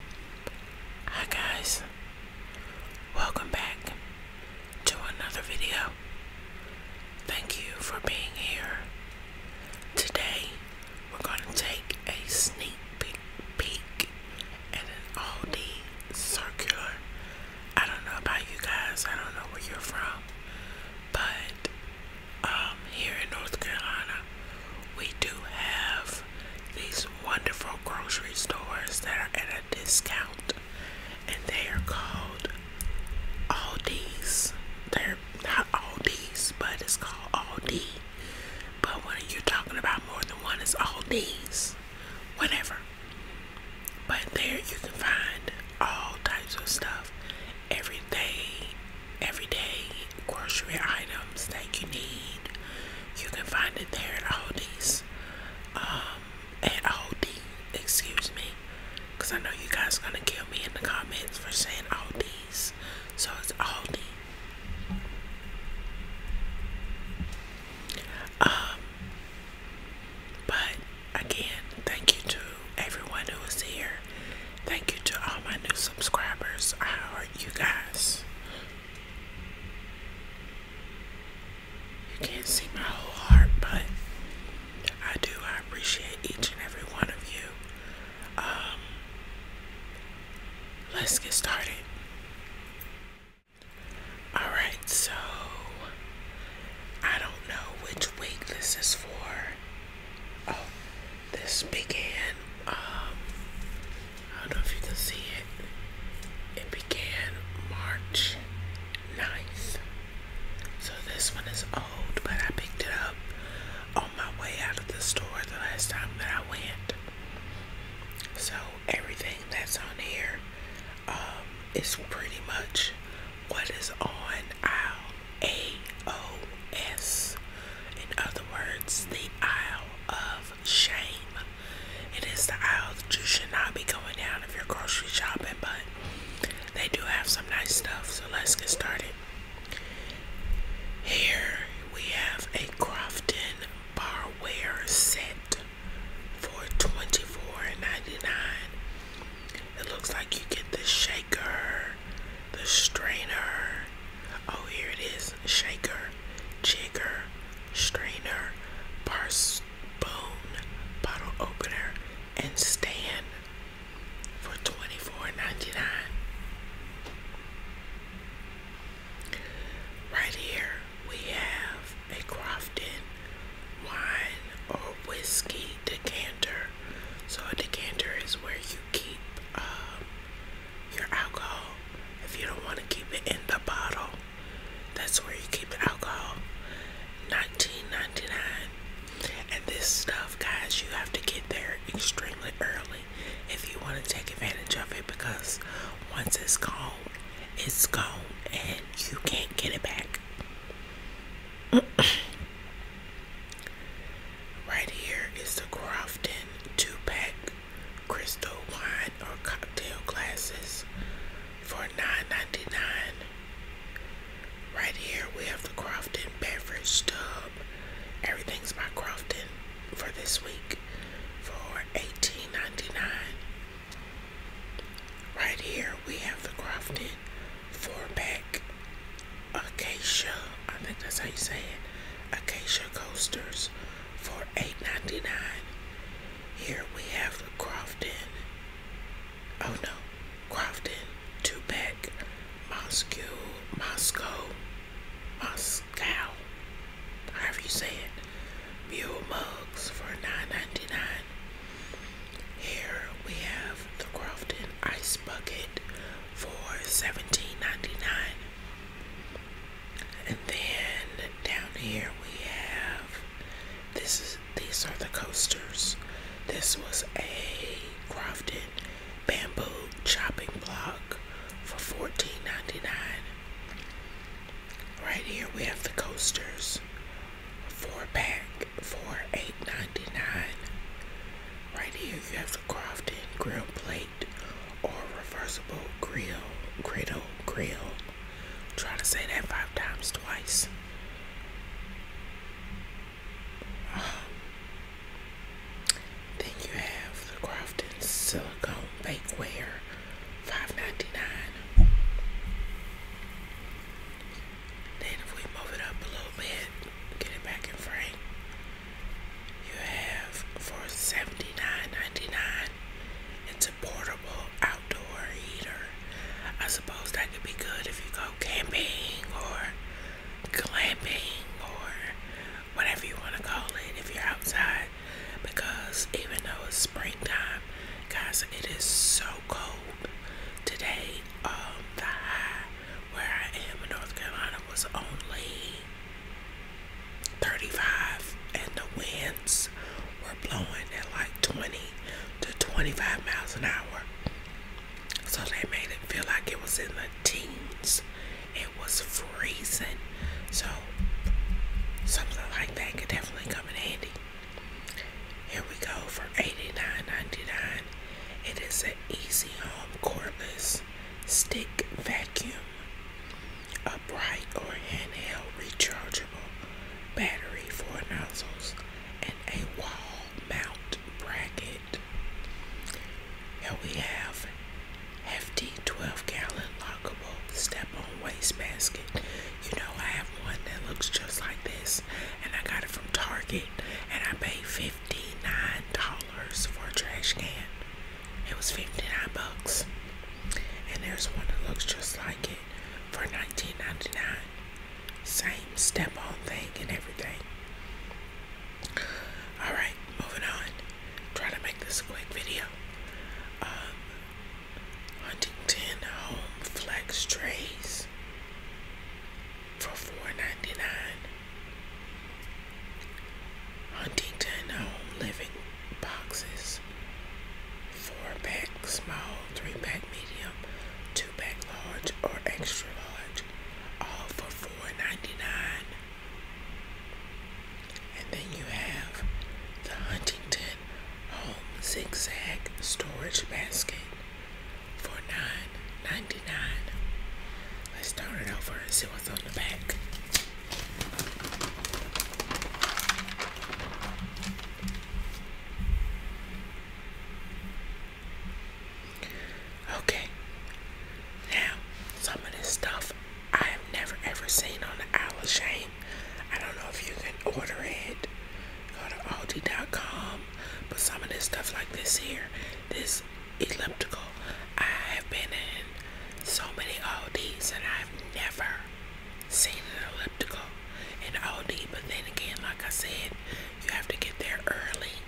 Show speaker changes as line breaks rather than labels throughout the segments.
Hi guys, welcome back to another video. Thank you for being here. Today we're going to take a sneak peek, peek at an Aldi circular. I don't know about you guys, I don't know where you're from, but um, here in North Carolina we do have these wonderful grocery stores that are at a discount, and they are called Aldi's. They're not Aldi's, but it's called Aldi. But what are you talking about more than one, it's Aldi's. Whatever. But there you can find all types of stuff every day, every day, grocery items that you need. You can find it there at Aldi's. Um, at Aldi, excuse me. Because I know you guys are going to kill me in the comments for saying Aldi's. So it's Aldi. Um, but again, thank you to everyone who is here. Thank you to all my new subscribers. How are you guys. You can't see my whole heart, but I do. I appreciate each and every one of you. Um, let's get started. Alright, so I don't know which week this is for. Oh, this began, um, I don't know if you can see it, it began March 9th. So this one is old, but I picked it up on my way out of the store the last time that I went. So everything that's on here um, is pretty much what is on aisle A O S. In other words, the aisle of shame. It is the aisle that you should not be going down if you're grocery shopping, but they do have some nice stuff, so let's get started. Here we have a Crofton barware set for $24.99. It looks like you get the shaker, the strainer. Oh, here it is shaker, jigger, strainer, bar spoon, bottle opener, and stand for twenty four ninety nine. Right here we have a Crofton wine or whiskey decanter. So a decanter is where you keep um, your alcohol. If you don't want to keep it in the bottle, that's where you keep the alcohol. Nineteen ninety nine. And this stuff, guys, you have to get there extremely early if you want to take advantage of it because once it's gone, it's gone and you can't get it back. Right here is the Crofton two pack crystal wine or cocktail glasses for $9.99. Right here we have the Crofton beverage stub. Everything's by Crofton for this week for $18.99. Right here we have the Crofton four pack acacia. I think that's how you say it. Acacia coasters for eight ninety nine. Here we have the Crofton. Oh no, Crofton, Tupac, Moscow, Moscow, Moscow. However you say it. Mule mugs for nine ninety nine. Here we have the Crofton ice bucket for seventeen ninety nine. And then down here we have this these are the coasters. This was a Crofton bamboo chopping block for $14.99. Right here we have the coasters. Four pack for $8.99. Right here you have the Crofton grill plate or reversible grill, griddle, grill. Try to say that five times twice. Um, then you have the Crofton silicone bakeware, five ninety nine. Then if we move it up a little bit, get it back in frame you have for $79.99. It's a portable outdoor heater. I suppose that could be good if you go camping or glamping or whatever you want to call it if you're outside. Because even though it's springtime, guys, it is so cold today. Um, the high where I am in North Carolina was only 35 and the winds were blowing at like 20 to 25 miles an hour. So they made it feel like it was in the teens. It was freezing. So something like that could definitely come in handy. Here we go for 89.99. is an easy home cordless stick vacuum, upright or handheld rechargeable battery for nozzles, and a wall mount bracket. Here we have hefty 12 gallon lockable step on wastebasket. You know, I have one that looks just like this, and I got it from Target, and I paid $59 for a trash can. It was 59 bucks. And there's one that looks just like it for 19.99. Same step on thing and everything. Alright, moving on. Try to make this a quick video. Um, Huntington Home Flex Trays for $4.99. Huntington Home Living Boxes. 4 pack small, 3 pack medium, 2 pack large, or extra large. All for $4.99. And then you have the Huntington Home Zigzag Storage Basket for $9.99. Let's turn it over and see what's on the back. Okay, now some of this stuff I have never ever seen on the Isle I don't know if you can order it. Go to Aldi.com, but some of this stuff like this here, this elliptical. I have been in so many ODs and I've never seen an elliptical in OD. But then again, like I said, you have to get there early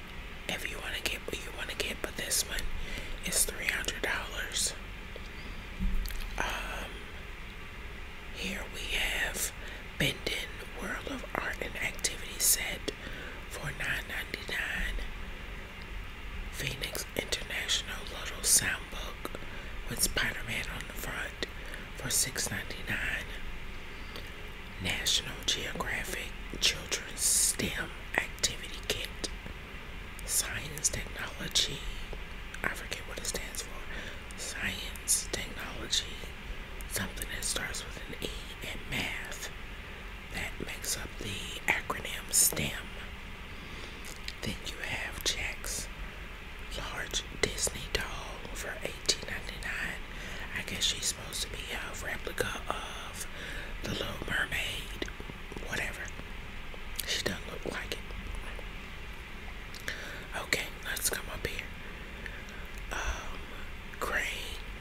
if you want to get what you want to get. But this one is three hundred dollars. Um, here we have Bendin World of Art and Activity Set for $9.99. Phoenix International Little Soundbook with Spider Man on the front for $6.99. National Geographic Children's STEM Activity Kit Science Technology. I forget what it stands for. Science, technology, something that starts with an E, and math. That makes up the acronym STEM. Then you have Jack's large Disney doll for $18.99. I guess she's supposed to be a replica of the Little Mermaid. Whatever. She doesn't look like it. Okay, let's come up here um,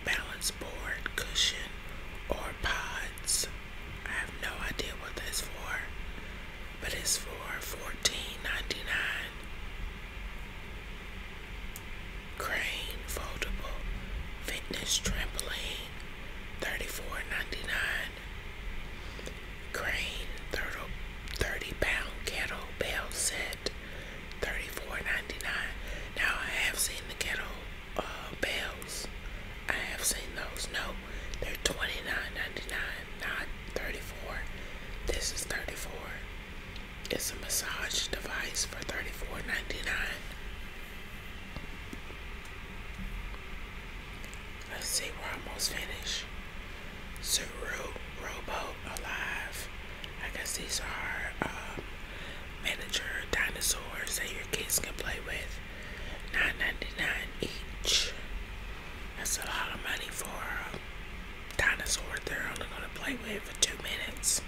balance board, cushion, or pods. I have no idea what this for, but it's for fourteen ninety nine. Crane foldable fitness trampoline, thirty four ninety nine. Crane 30 pound kettlebell set, 34 Now I have seen the kettle uh, bells. I have seen those. No, they're $29.99, not 34 This is 34 It's a massage device for 34 Let's see, we're almost finished. Suru Robo Alive. I guess these are um, miniature dinosaurs that your kids can play with. Nine ninety nine dollars each. That's a lot of money for a dinosaur they're only going to play with for two minutes.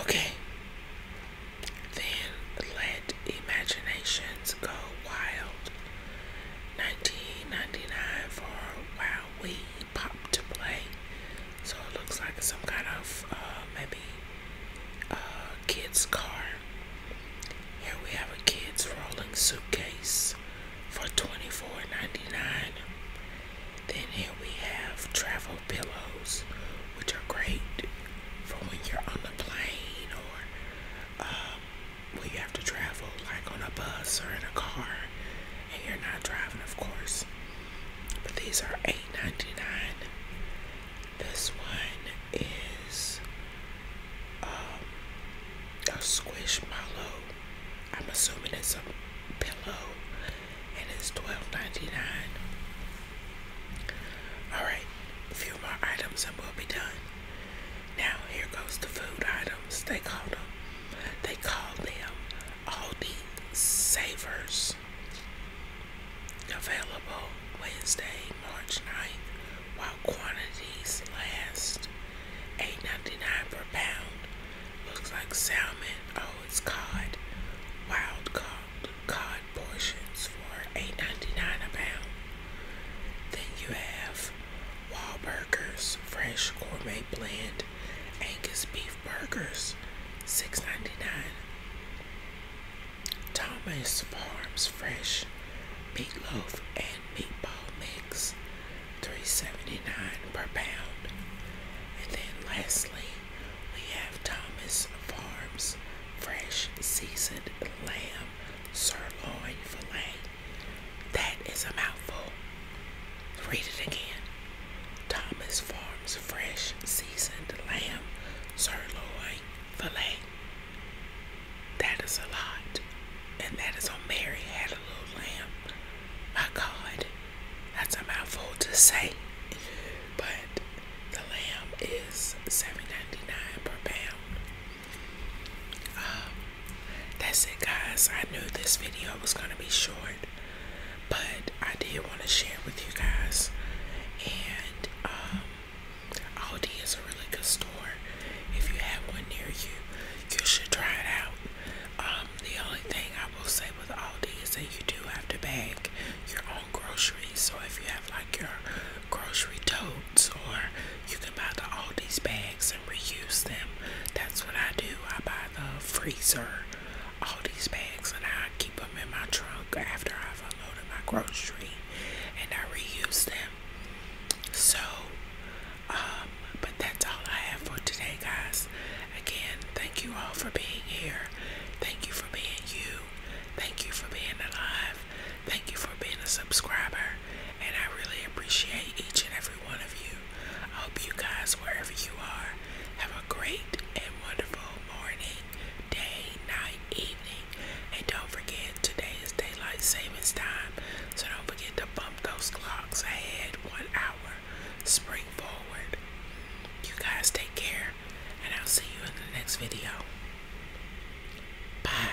Okay. Then let imaginations go wild. 19 for Wow Wii pop to play. So it looks like some kind of uh, maybe uh, kids car. Here we have a kids rolling suitcase for $24.99. Then here we have travel pillows, which are great for when you're on the plane or um, when you have to travel like on a bus or in a car and you're not driving, of course. But these are eight ninety nine. This one is um, a a pillow. I'm assuming it's a pillow, and it's twelve ninety Alright, a few more items and we'll be done. Now, here goes the food items. They called them, they call them Aldi Savers. Available Wednesday, March 9th, while quantities last. eight ninety nine per pound. Looks like salmon. Oh, it's cod. Wild cod, cod portions for eight ninety nine a pound. Then you have Burgers, Fresh Gourmet Blend Angus Beef Burgers $6.99. Thomas Farms Fresh Meatloaf and Meatball Mix $3.79 per pound. And then lastly, we have Thomas Farms Fresh Seasoned Lamb Sirloin Filet. That is a mouthful. Read it again. Thomas Farms fresh seasoned lamb sirloin filet. That is a lot. And that is on Mary had a little lamb. My God, that's a mouthful to say. But the lamb is seven ninety nine per pound. Um, that's it, guys. I knew this video was going to be short, but I did want to share with you guys. And um, Aldi is a really good store. If you have one near you, you should try it out. Um, the only thing I will say with Aldi is that you do have to bag your own groceries. So if you have like your grocery totes, or you can buy the Aldi's bags reuse them. That's what I do. I buy the freezer, all these bags, and I keep them in my trunk after I've unloaded my grocery and I reuse them. So, um, but that's all I have for today, guys. Again, thank you all for being here. Thank you for being you. Thank you for being alive. Thank you for being a subscriber. And I really appreciate each and every one of you. I hope you guys, wherever you are, have a great and wonderful morning, day, night, evening. And don't forget, today is daylight savings time, so don't forget to bump those clocks ahead one hour. Spring forward. You guys take care, and I'll see you in the next video. Bye.